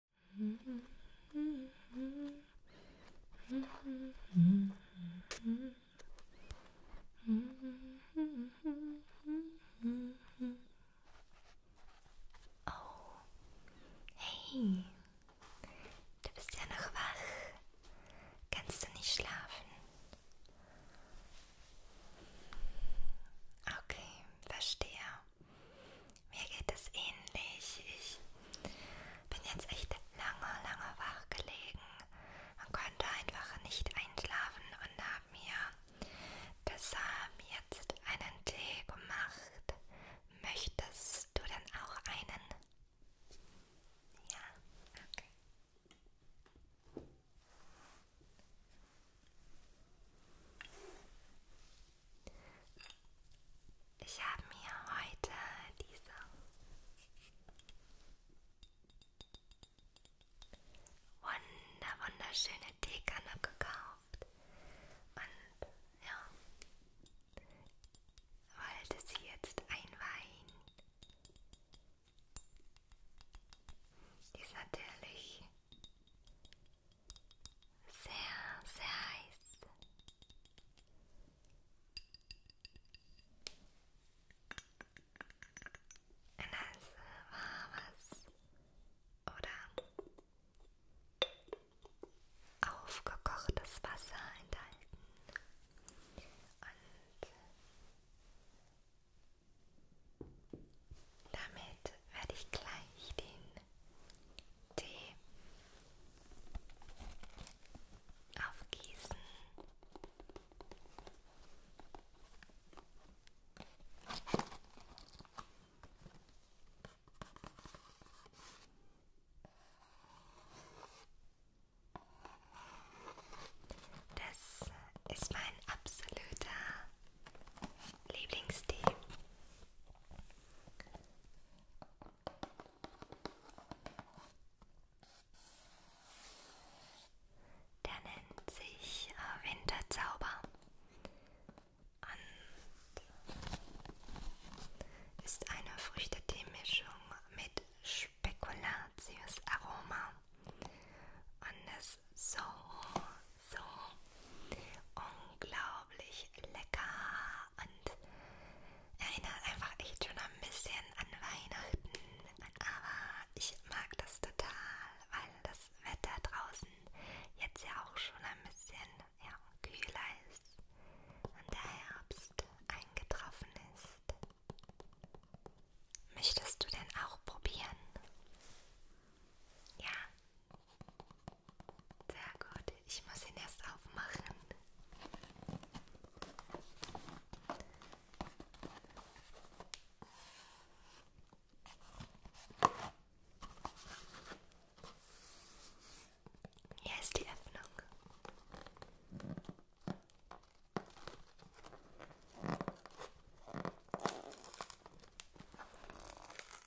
Oh, hey, du bist ja noch wach. Kannst du nicht schlafen? Okay, verstehe. Mir geht es ähnlich. Ich bin jetzt echt lange, lange wach gelegen und konnte einfach nicht einschlafen und habe mir deshalb jetzt einen Tee gemacht. Möchtest du denn auch einen? Ja, okay. Ich habe mir heute diese wunder wunderschöne Teekanne gekauft und ja, wollte sie jetzt einweihen. Die ist natürlich sehr, sehr heiß. Ein heißes, warmes oder aufgekochtes Wasser enthalten. Und damit werde ich gleich den Tee aufgießen. Das ist mein absoluter Lieblingstee. Der nennt sich äh, Winterzauber und ist eine Früchtetee-Mischung mit Spekulatius-Aroma. Und es ist so, so unglaublich lecker und erinnert einfach echt schon ein bisschen an Weihnachten. Aber ich mag das total, weil das Wetter draußen jetzt ja auch schon ein bisschen ja, kühler ist und der Herbst eingetroffen ist. Möchtest du denn auch probieren? Ja, sehr gut, ich muss ihn erst aufmachen. Hier ist die Öffnung.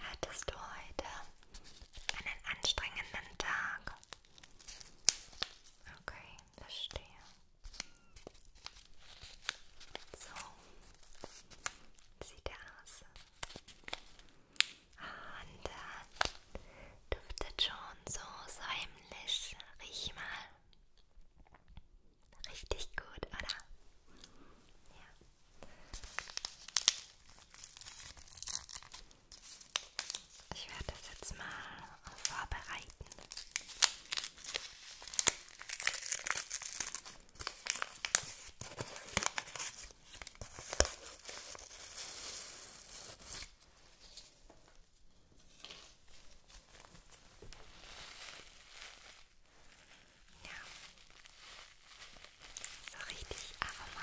Hattest du heute einen anstrengenden Tag? Okay, verstehe. So sieht er aus. Und äh, duftet schon so säumlich. Riech mal. Richtig gut, oder? Ja. Ich werde das jetzt mal vorbereiten. Ja. So richtig aromat.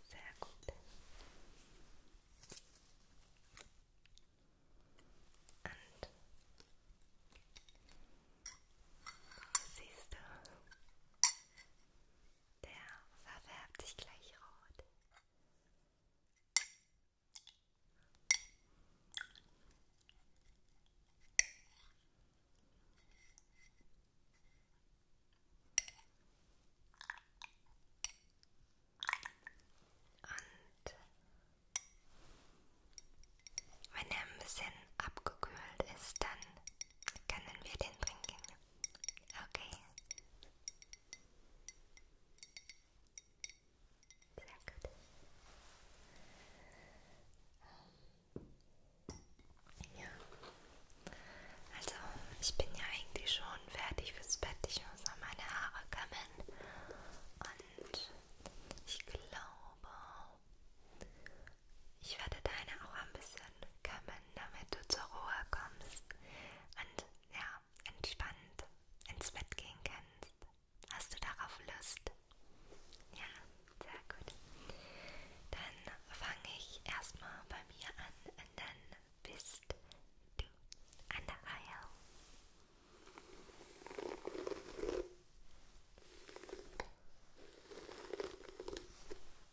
Sehr gut. Und siehst du, der verfärbt sich gleich rot. Und wenn er ein bisschen abgekühlt ist, dann können wir den trinken. Okay. Sehr gut. Ähm, ja. Also, ich bin ja eigentlich schon fertig fürs Bett. Ich muss noch meine Haare kämmen. Und ich glaube, ich werde deine auch ein bisschen kämmen, damit du zur Ruhe kommst. Und ja, entspannt ins Bett gehen kannst. Hast du darauf Lust? Ja, sehr gut. Dann fange ich erstmal bei mir an und dann bist du an der Reihe.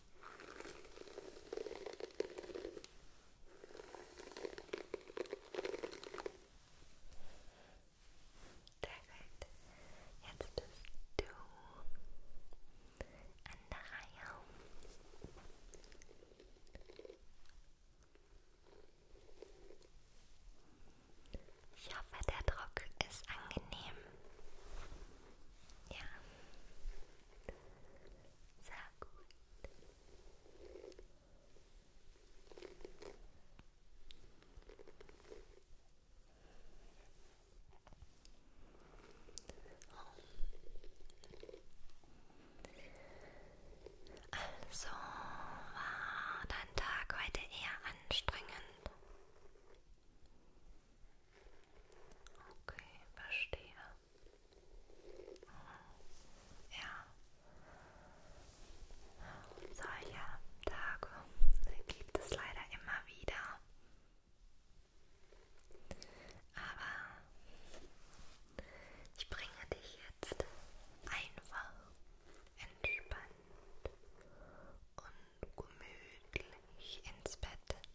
Sehr gut. Jetzt bist du an der Reihe. Ich hoffe, der Druck ist angenehm. Ja. Sehr gut. Also war dein Tag heute eher anstrengend? Okay, verstehe. Mhm. Ja. Solche Tage gibt es leider immer wieder. Aber ich bringe dich jetzt einfach entspannt und gemütlich ins Bett.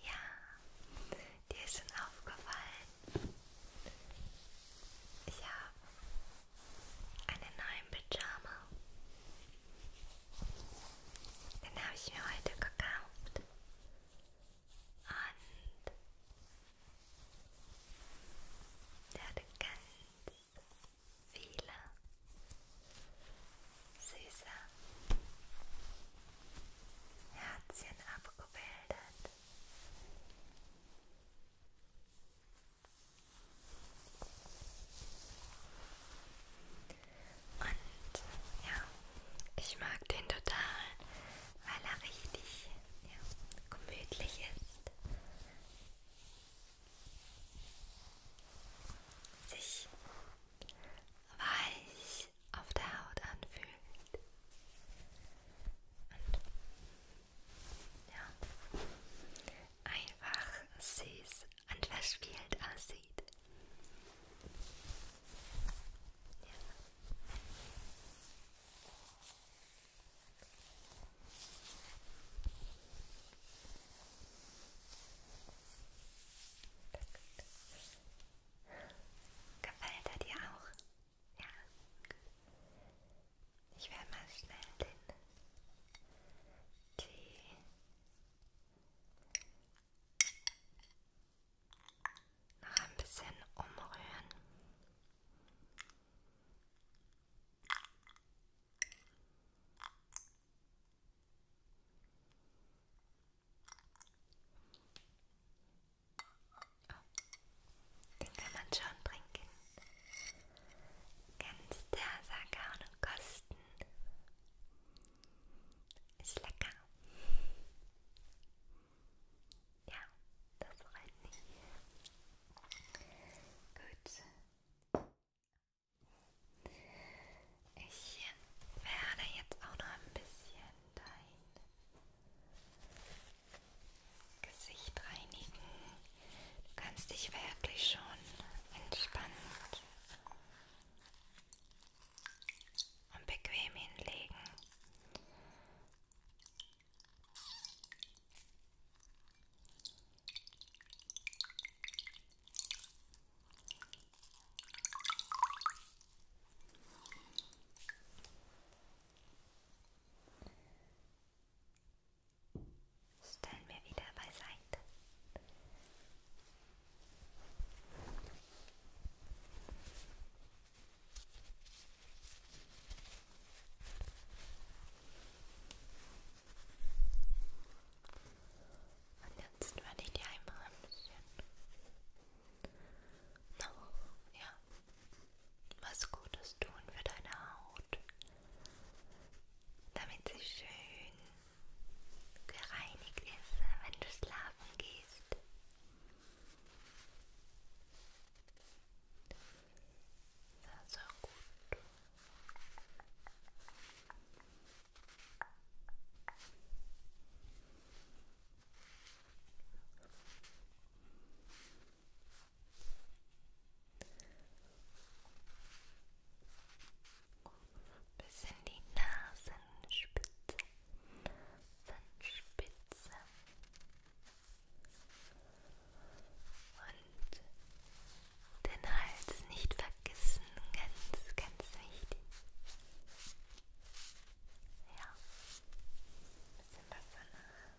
Ja, dir ist schon aufgefallen. Ich habe einen neuen Pyjama. Den habe ich mir heute gekauft. Und der hatte ganz viele süße Herzchen abgebildet. Und ja, ich mag den total, weil er richtig ja, gemütlich ist. Sich weich auf der Haut anfühlt. Und ja, einfach süß und verspielt aussieht. Ja. Gefällt er dir auch? Ja. Ich werde mal schnell den Tee noch ein bisschen umrühren. Oh, den kann man schon trinken. Ganz der Sakao und Kosten. Ist lecker. Ja, das reicht nicht. Gut. Ich werde jetzt auch noch ein bisschen dein Gesicht reinigen. Du kannst dich wirklich schon entspannt und bequem hinlegen. Stellen wir wieder beiseite. Und jetzt werde ich dir einmal ein bisschen. No, ja. Was Gutes tun für deine Haut, damit sie schön gereinigt ist, wenn du schlafen gehst. So, so gut bis in die Nasenspitze, Nasenspitze und den Hals nicht vergessen, ganz, ganz wichtig. Ja, ein bisschen Wasser nach.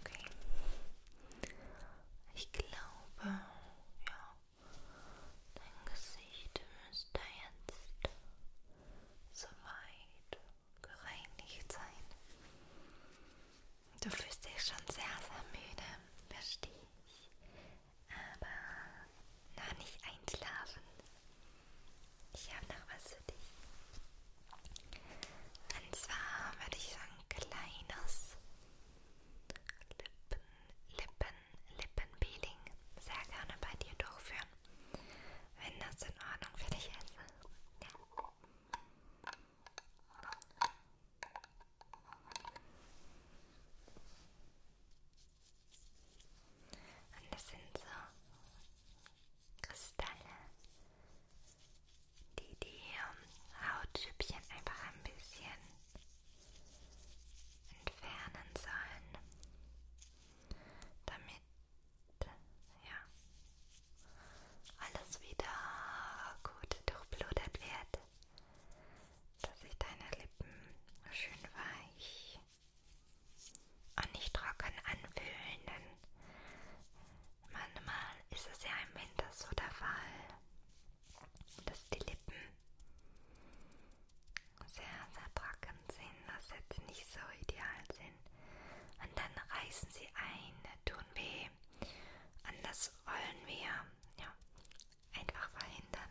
Okay. Ich glaube, ja, dein Gesicht müsste jetzt soweit gereinigt sein. Du fühlst dich schon sehr, sehr müde, verstehe ich. Aber noch nicht einschlafen. Ich habe noch was für dich. Und zwar würde ich sagen, kleines Lippen, Lippen, Lippenpeeling sehr gerne bei dir durchführen, wenn das in Ordnung für dich ist. Ja. Und das sind so Kristalle, die die Hautschüppchen einfach ein bisschen entfernen sollen, damit ja, alles wieder gut durchblutet wird, dass sich deine Lippen schön weich und nicht trocken anfühlen, denn manchmal ist es ja im Winter so der Fall, dass die Lippen sehr, sehr trocken sind, dass jetzt nicht so ideal sind. Und dann reißen sie ein, tun weh. Und das wollen wir ja, einfach verhindern.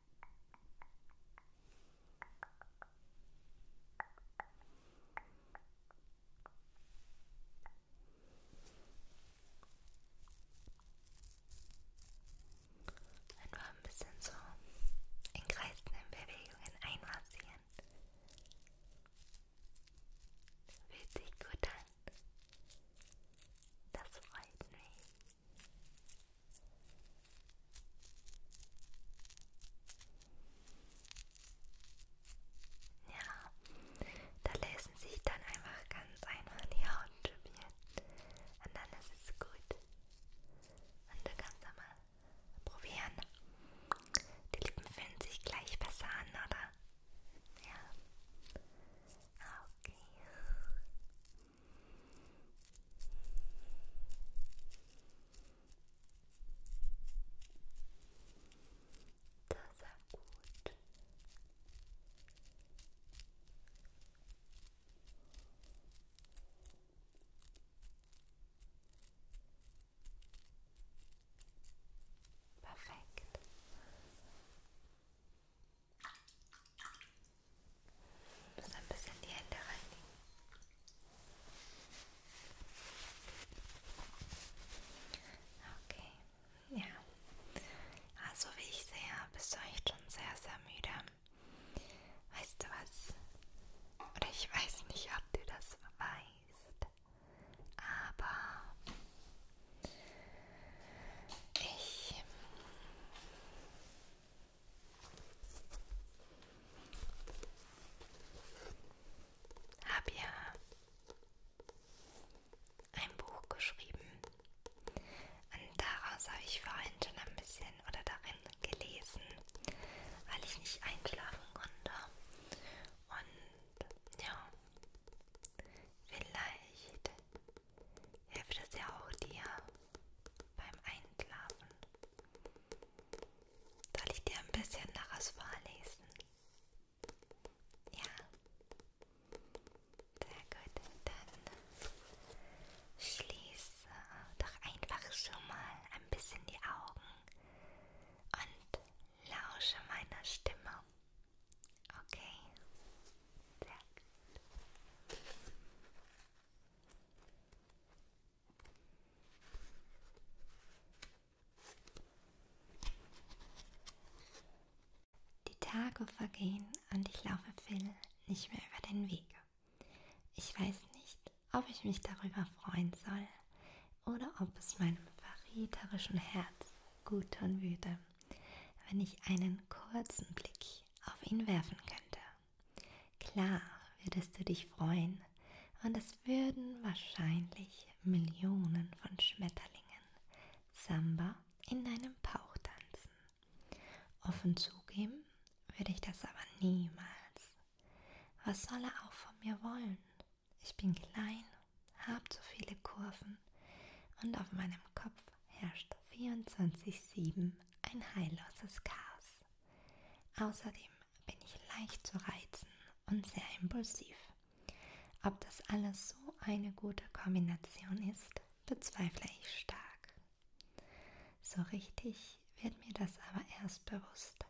Einfach ein bisschen so in kreisenden Bewegungen einmassieren. Fühlt sich gut an. Das freut mich. Ja, da lassen sich dann einfach ganz einfach die Haut probieren und dann ist es gut. Und du kannst dann mal probieren. Die Lippen fühlen sich gleich besser an, oder? Ja. Ah, okay. Das war gut. Perfekt. Du musst ein bisschen die Hände reinigen. Okay, ja. Also wie ich sehe, bist du echt schon sehr, sehr müde. Weißt du was? Oder ich weiß nicht, ob du das weißt. Aber ich habe ja ein Buch geschrieben und daraus habe ich vorhin schon ein bisschen oder darin gelesen, weil ich nicht einschlafen konnte. Und ja, vielleicht hilft es ja auch dir beim Einschlafen. Soll ich dir ein bisschen daraus vorlesen? Ja. Sehr gut. Dann schließe doch einfach schon mal ein bisschen die Augen und lausche meiner Stimme. Okay. Sehr gut. Die Tage vergehen und ich laufe Phil nicht mehr über den Weg. Ich weiß nicht, ob ich mich darüber freuen soll oder ob es meinem verräterischen Herz gut tun würde wenn ich einen kurzen Blick auf ihn werfen könnte. Klar würdest du dich freuen und es würden wahrscheinlich Millionen von Schmetterlingen Samba in deinem Bauch tanzen. Offen zugeben würde ich das aber niemals. Was soll er auch von mir wollen? Ich bin klein, hab zu viele Kurven und auf meinem Kopf herrscht 24-7 ein heilloses Chaos. Außerdem bin ich leicht zu reizen und sehr impulsiv. Ob das alles so eine gute Kombination ist, bezweifle ich stark. So richtig wird mir das aber erst bewusst,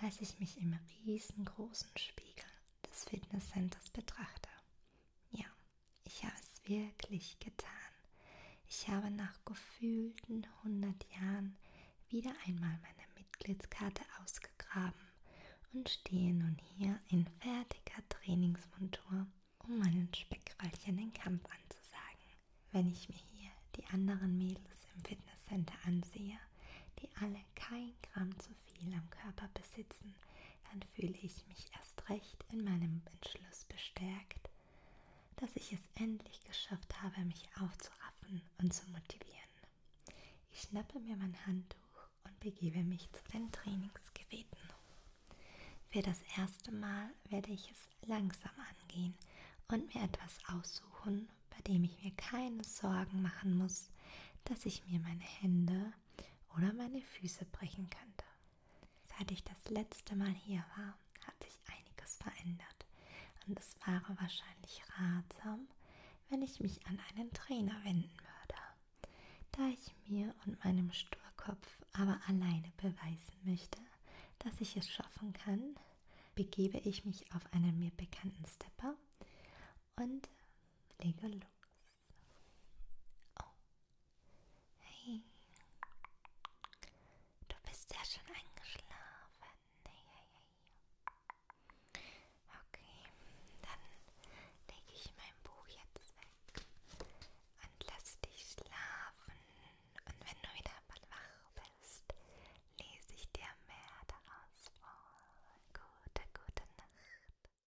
als ich mich im riesengroßen Spiegel des Fitnesscenters betrachte. Ja, ich habe es wirklich getan. Ich habe nach gefühlten 100 Jahren wieder einmal meine Mitgliedskarte ausgegraben und stehe nun hier in fertiger Trainingsmontur, um meinen Speckröllchen den Kampf anzusagen. Wenn ich mir hier die anderen Mädels im Fitnesscenter ansehe, die alle kein Gramm zu viel am Körper besitzen, dann fühle ich mich erst recht in meinem Entschluss bestärkt, dass ich es endlich geschafft habe, mich aufzuraffen und zu motivieren. Ich schnappe mir mein Handtuch und begebe mich zu den Trainingsgeräten. Für das erste Mal werde ich es langsam angehen und mir etwas aussuchen, bei dem ich mir keine Sorgen machen muss, dass ich mir meine Hände oder meine Füße brechen könnte. Seit ich das letzte Mal hier war, hat sich einiges verändert und es wäre wahrscheinlich ratsam, wenn ich mich an einen Trainer wenden würde, da ich mir und meinem Sturkopf aber alleine beweisen möchte, dass ich es schaffen kann, begebe ich mich auf einen mir bekannten Stepper und lege los. Oh. Hey. Du bist ja schon eingeschlafen. Hey, hey, hey. Okay, dann lege ich mein Buch jetzt weg und lass dich schlafen. Und wenn du wieder wach bist, lese ich dir mehr daraus vor. Gute, gute Nacht.